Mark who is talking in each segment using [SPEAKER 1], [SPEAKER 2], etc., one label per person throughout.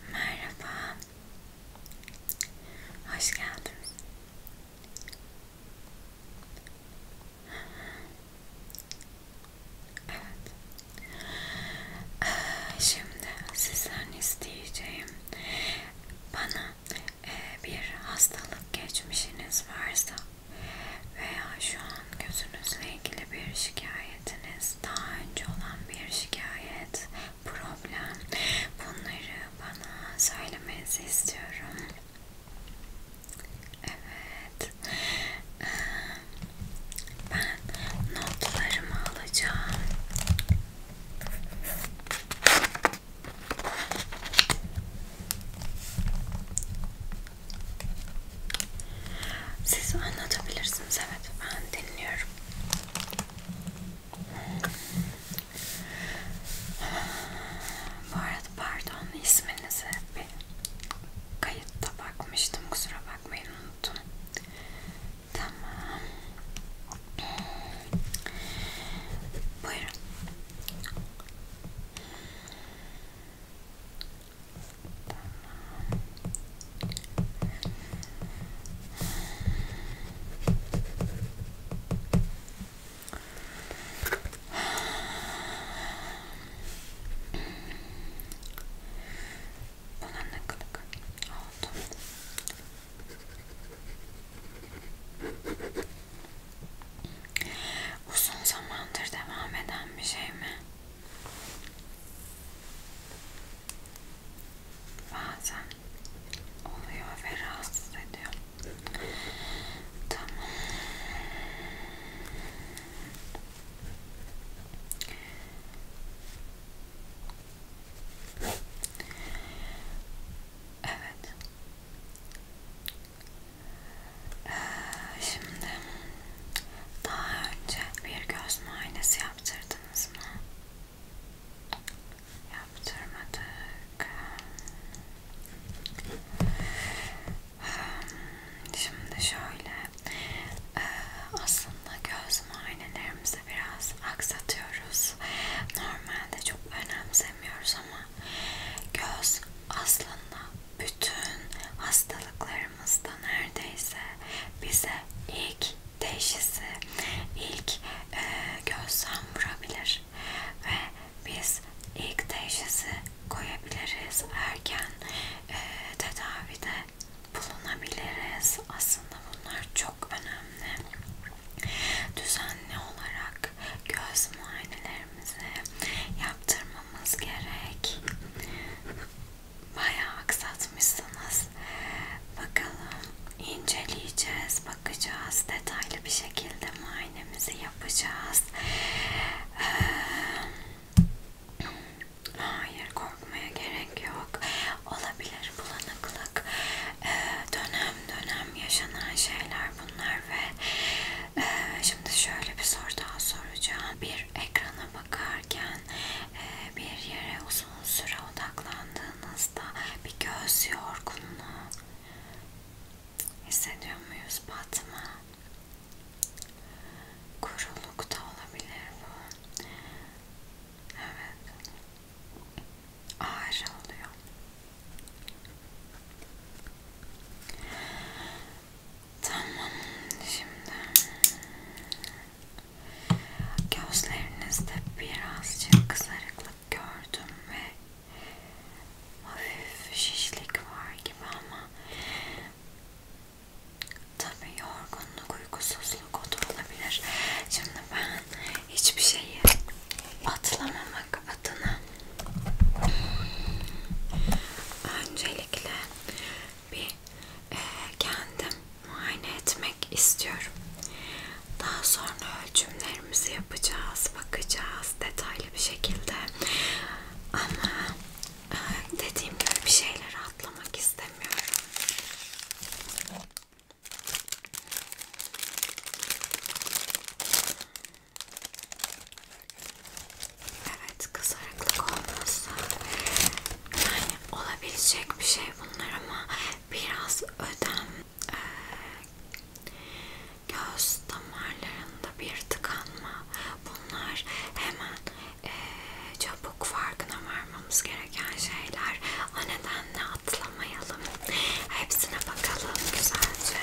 [SPEAKER 1] Merhaba. Hoş geldiniz. Evet. Ee, şimdi sizden isteyeceğim bana e, bir hastalık geçmişiniz varsa veya şu an gözünüzle ilgili bir şikayetiniz, daha önce olan bir şikayet problem. Bunları bana söylemenizi istiyorum. Evet. Ee, ben notlarımı alacağım. Siz anlatabilirsiniz. Evet ben dinliyorum. Bu arada pardon isminize bir kayıtta bakmıştım kusura bakmayın unuttum. Tamam. Buyurun. Tamam. Ona ne kadar oldu? Uzun zamandır devam eden bir şey mi? bazen oluyor ve rahatsız ediyor. Tamam. Evet. Ee, şimdi daha önce bir göz muayenesi yaptırdım yaptınız mı? Yaptırmadık. Şimdi şöyle, e, aslında göz muayenelerimizi biraz aksatıyoruz. Normalde çok önemsemiyoruz ama göz aslında bütün hastalıklarımızda neredeyse bize ilk teşhisi ilk e, gözlem vurabilir ve biz ilk teşhisi koyabiliriz erken e, tedavide bulunabiliriz aslında bunlar çok önemli düzenli olarak göz muayenelerimizi yaptırmamız gerek bayağı aksatmışsınız. Bakalım inceleyeceğiz, bakacağız, detaylı bir şekilde muayenemizi yapacağız. Ee, hayır korkmaya gerek yok. Olabilir bulanıklık. Ee, dönem dönem yaşanan şeyler bunlar ve e, şimdi şöyle bir soru daha soracağım. Bir ekrana bakarken e, bir yere uzanırken uzun süre odaklandığınızda bir göz yorgunluğu hissediyor muyuz? Batma. Kuruluk da olabilir bu. Evet. Ağrı oluyor. Tamam. Şimdi Gözlerinizde birazcık kızarıklık gördüm ve hafif şişlik var gibi ama tabi yorgunluk, uykusuzluk o da olabilir. Şimdi ben hiçbir şeyi atlamamak adına öncelikle bir e, kendim muayene etmek istiyorum. Daha sonra ölçümlerimizi yapacağız, bakacağız detaylı bir şekilde. Ama e, dediğim gibi bir şeyleri atlamak istemiyorum. Evet, kızarıklık olmazsa yani olabilecek bir şey bunlar ama biraz ödem e, göz damarlarında bir tıkanma bunlar hemen e, çabuk farkına varmamız gereken şeyler o nedenle atlamayalım hepsine bakalım güzelce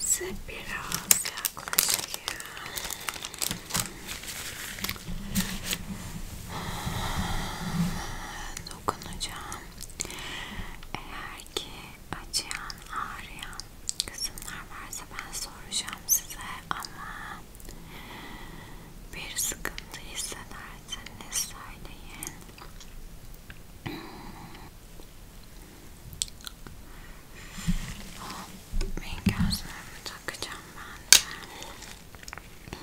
[SPEAKER 1] Size biraz yaklaşayım. Dokunacağım. Eğer ki acıyan, ağrıyan kısımlar varsa ben soracağım size ama bir sıkıntı hissederseniz söyleyin. Ben gözlerimi takacağım ben de. Tamam. Evet.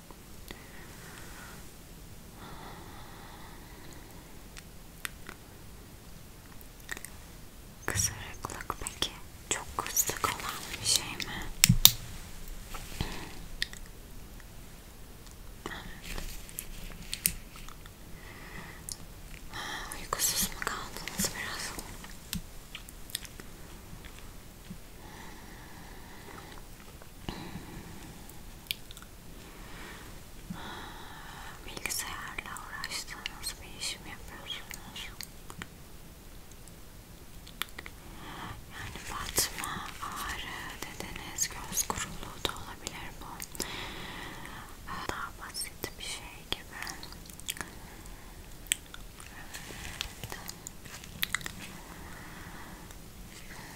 [SPEAKER 1] Kısırıklık peki çok kısık olan bir şey mi? Uykusuz mu kaldınız biraz? Bilgisayarla uğraştığınız bir iş mi yapıyorsunuz? Yani batma, ağrı dediniz, göz kuruluğu da olabilir bu. Daha basit bir şey gibi. Evet.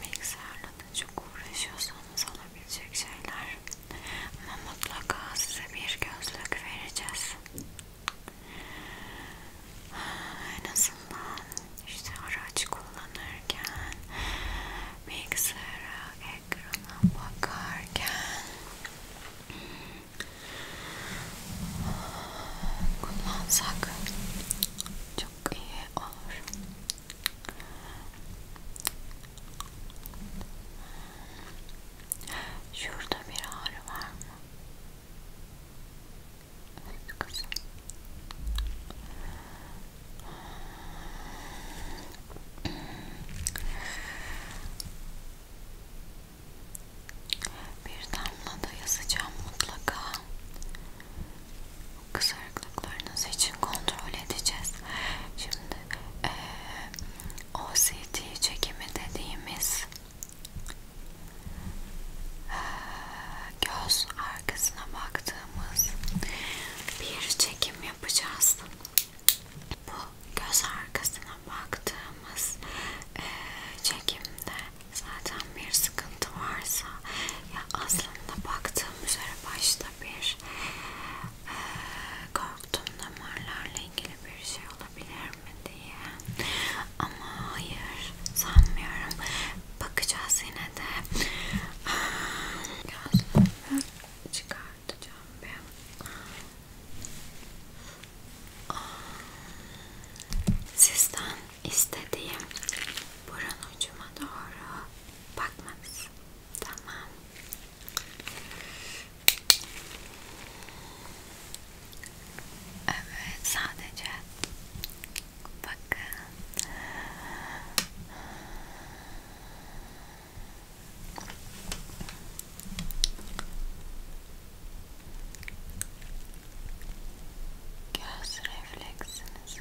[SPEAKER 1] Bilgisayarla da çok uğraşıyorsanız olabilecek şeyler ama mutlaka size bir gözlük vereceğiz. En azından işte araç kullanırken, bilgisayara, ekrana bakarken kullansak çok çok iyi olur. Şurada bir ağrı var mı? Evet kızım. Bir damla da yazacağım mutlaka kızarıklıklarınız için kontrol edeceğiz. Şimdi e, OCT çekimi dediğimiz e, göz arkasına baktığımız bir çekim yapacağız. Bu göz arkasına baktığımız e, çekimde zaten bir sıkıntı varsa ya aslında baktığım üzere başta bir e, korktum damarlarla ilgili bir şey olabilir mi diye ama hayır sanmıyorum bakacağız yine de gözlüğümü çıkartacağım ben Sizden istediğim burun ucuma doğru bakmanız. Tamam. Evet sadece bakın. Göz refleksinizi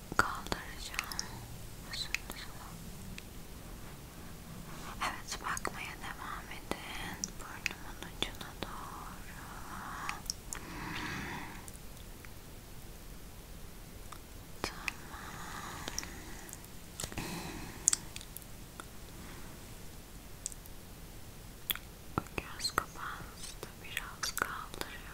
[SPEAKER 1] kaldıracağım. Üstünüzü. Evet bakmaya devam edin. Burnumun ucuna doğru. Tamam. Göz kapağınızı da biraz kaldırıyorum.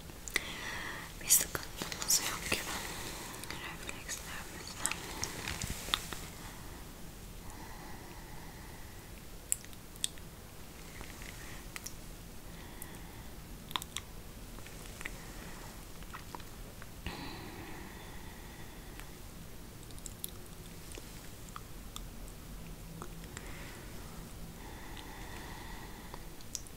[SPEAKER 1] Bir sıkıntımız yok gibi. Reflekslerimizde. Şöyle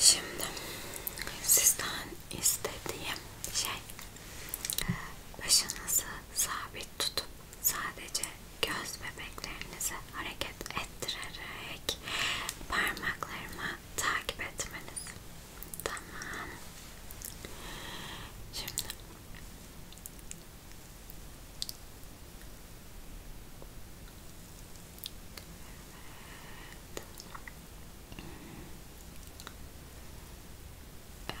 [SPEAKER 1] Şimdi sizden istediğim şey başınızı sabit tutup sadece göz bebeklerinizi hareket ettirerek parmaklarımı takip etmeniz. Tamam. Şimdi Evet. Evet.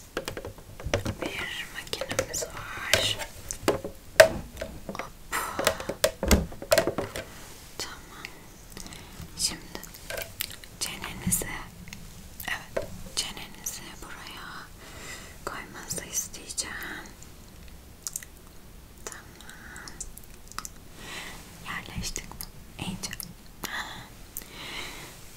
[SPEAKER 1] bir makinemiz var. Hop. Tamam. Şimdi çenenizi evet çenenizi buraya koymanızı isteyeceğim. Tamam. Yerleştik mi? İyice.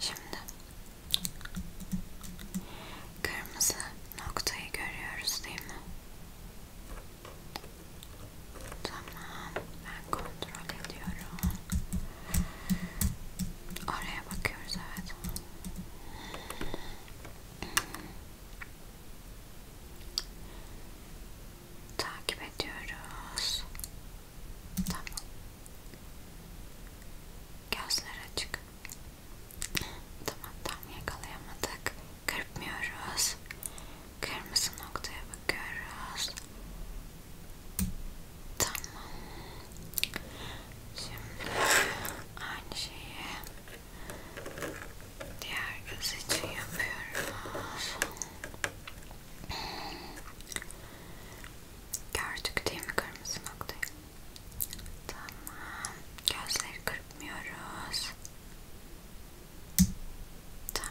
[SPEAKER 1] Şimdi kırmızı noktayı görüyoruz değil mi? Tamam, ben kontrol ediyorum. Oraya bakıyoruz evet. Takip ediyoruz. Tamam. Gözler açık. Tamam tam yakalayamadık. Kırpmıyoruz. Kırmızı noktaya bakıyoruz. Tamam. Şimdi aynı şeyi diğer göz için yapıyoruz. Gördük değil mi kırmızı noktayı? Tamam. Gözleri kırpmıyoruz. Tamam.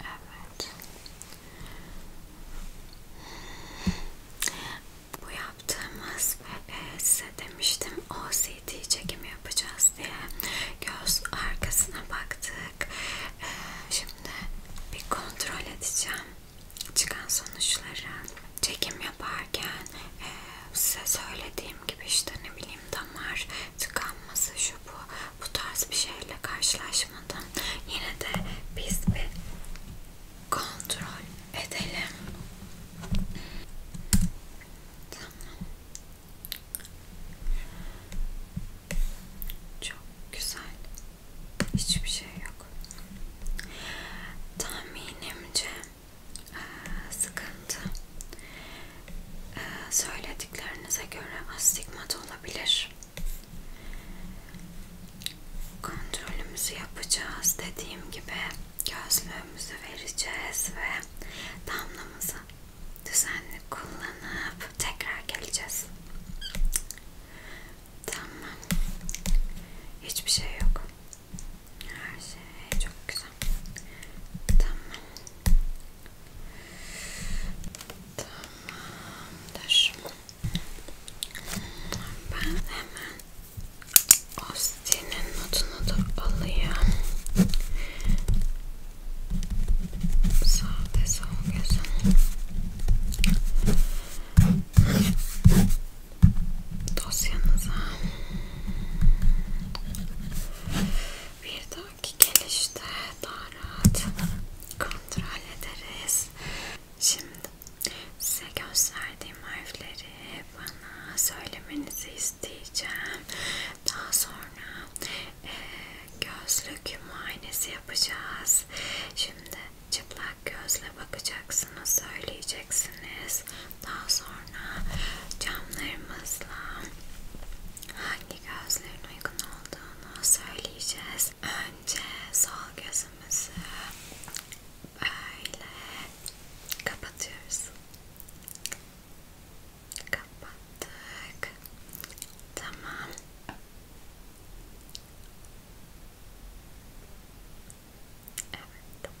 [SPEAKER 1] Evet. Bu yaptığımız ve size demiştim OCD çekimi yapacağız diye göz arkasına baktık. Ee, şimdi bir kontrol edeceğim çıkan sonuçları. Çekim yaparken e, size söylediğim gibi işte ne bileyim damar tıkanması şu bu bu tarz bir şeyle karşılaş karışmadan yine de biz bir kontrol edelim. Tamam. Çok güzel. Hiçbir şey yok. Tahminimce sıkıntı söylediklerinize göre astigmat olabilir. Kontrolümüzü yapacağız. Dediğim gibi gözlüğümüzü vereceğiz ve damlamızı düzenli kullanıp tekrar geleceğiz. Tamam. Hiçbir şey yok. Her şey çok güzel. Tamam. Tamamdır. Ben hemen Austin'in notunu da alayım. Sağ ve sol gözün. Dosyanıza bir dahaki gelişte daha rahat kontrol ederiz. Şimdi size gösterdiğim harfleri bana söylemenizi isteyeceğim. Daha sonra e, gözlük muayenesi yapacağız. Şimdi çıplak gözle bakacaksınız, söyleyeceksiniz. Daha sonra camlarımızla hangi gözlerin uygun olduğunu söyleyeceğiz. Önce sol gözümüzü böyle kapatıyoruz. Kapattık. Tamam. Evet. Tamam.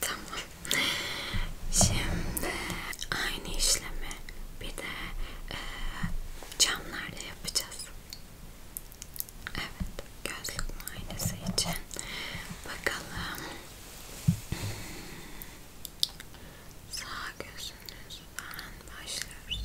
[SPEAKER 1] Tamam. Şimdi aynı işlemi bir de e, camlarla yapacağız. Evet, gözlük muayenesi için bakalım. Sağ gözünüzden başlıyoruz.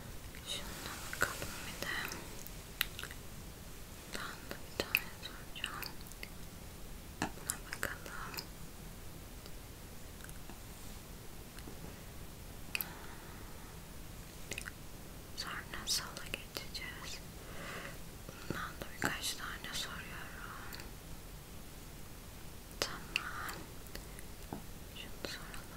[SPEAKER 1] Şuna bakalım bir de. Buradan da bir tane soracağım. Buna bakalım. Sonra sala geçeceğiz. Bundan da birkaç tane soruyorum. Tamam. Şunu soralım.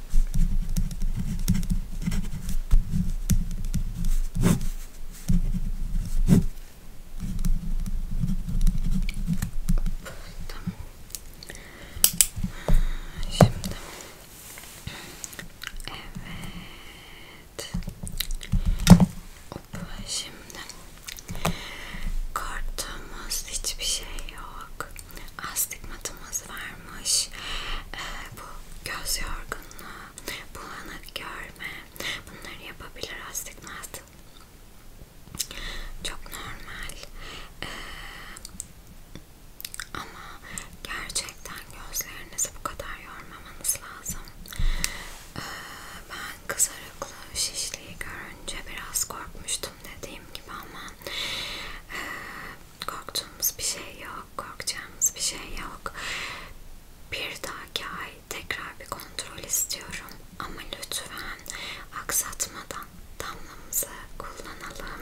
[SPEAKER 1] Tamam. Şimdi. Evet. Hop, şimdi korktuğumuz hiçbir şey yok. Astigmatımız varmış. Ee, bu göz yorgunluğu bunu, bu anı görme. Bunları yapabilir aslında. Çok normal. Ee, ama gerçekten gözlerinizi bu kadar yormamanız lazım. Ee, ben kızarıklı şişliği görünce biraz korkmuştum dediğim gibi ama e, korktuğumuz bir şey yok korkacağımız bir şey yok. Bir dahaki ay tekrar bir kontrol istiyorum ama lütfen aksatmadan damlamızı kullanalım.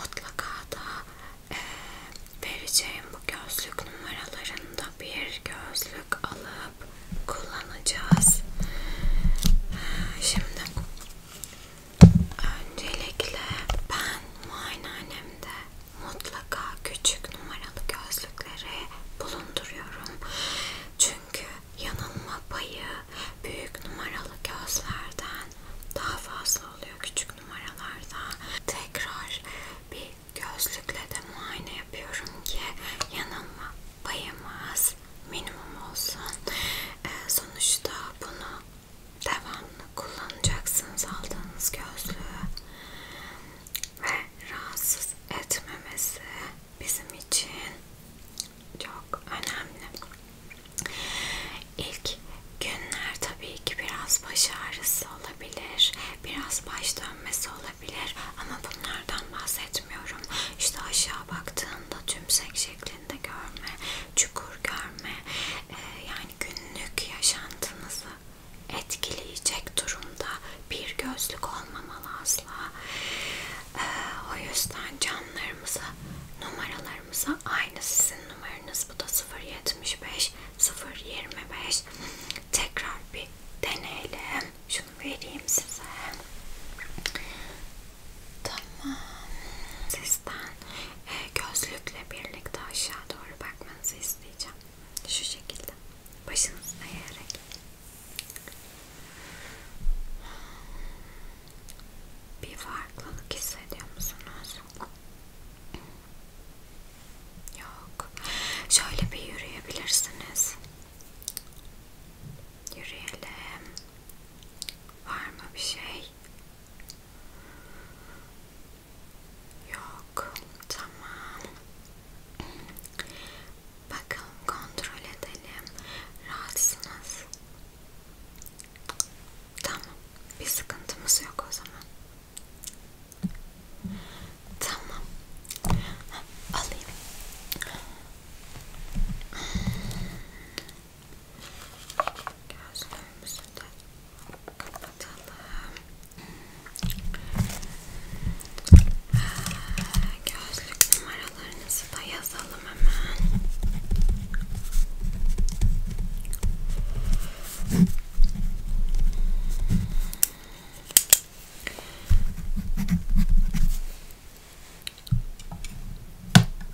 [SPEAKER 1] Mutlaka da e, vereceğim bu gözlük numaralarında bir gözlük alıp kullanacağız. Şimdi Öncelikle ben muayenehanemde mutlaka küçük numaralı gözlükleri bulunduruyorum. Çünkü yanılma payı büyük numaralı gözlerden daha fazla oluyor küçük numaralarda. Tekrar bir gözlükle de muayene yapıyorum ki yanılma payımız minimum olsun. Ee, sonuçta bunu devamlı kullanacaksınız aldığınız gözlüğü ve rahatsız etmemesi bizim için çok önemli. İlk günler tabii ki biraz baş ağrısı olabilir, biraz baş dönmesi olabilir ama bunlardan bahsetmiyorum. İşte aşağı baktığında tümsek şeklinde görme, çukur görme, e, yani yani günlük yaşantınızı etkileyecek durumda bir gözlük olmamalı asla. Ee, o yüzden canlarımıza, numaralarımıza aynı sizin numaranız bu da 075 025 tekrar bir deneyelim. Şunu vereyim size. Tamam. Sizden gözlükle birlikte aşağı doğru bakmanızı isteyeceğim. Şu şekilde. Başınızı eğerek. Bir farklılık hissediyor musunuz? Yok. Şöyle bir yürüyebilirsiniz. Yürüyelim. Var mı bir şey? Yok. Tamam. Bakalım kontrol edelim. Rahatsınız. Tamam. Bir sıkıntımız yok o zaman. Tamam. Alayım. Gözlerimizi de kapatalım. Gözlük numaralarınızı da yazalım hemen.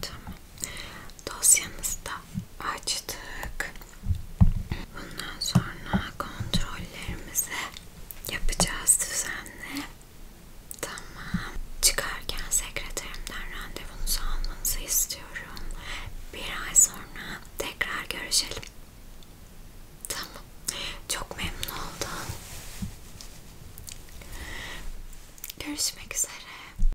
[SPEAKER 1] Tamam. Dosyanızda açtık. Bundan sonra kontrollerimizi yapacağız düzenli. Tamam. Çıkarken sekreterimden randevunuzu almanızı istiyorum. Bir ay sonra tekrar görüşelim. Tamam. Çok memnun oldum. Görüşmek üzere.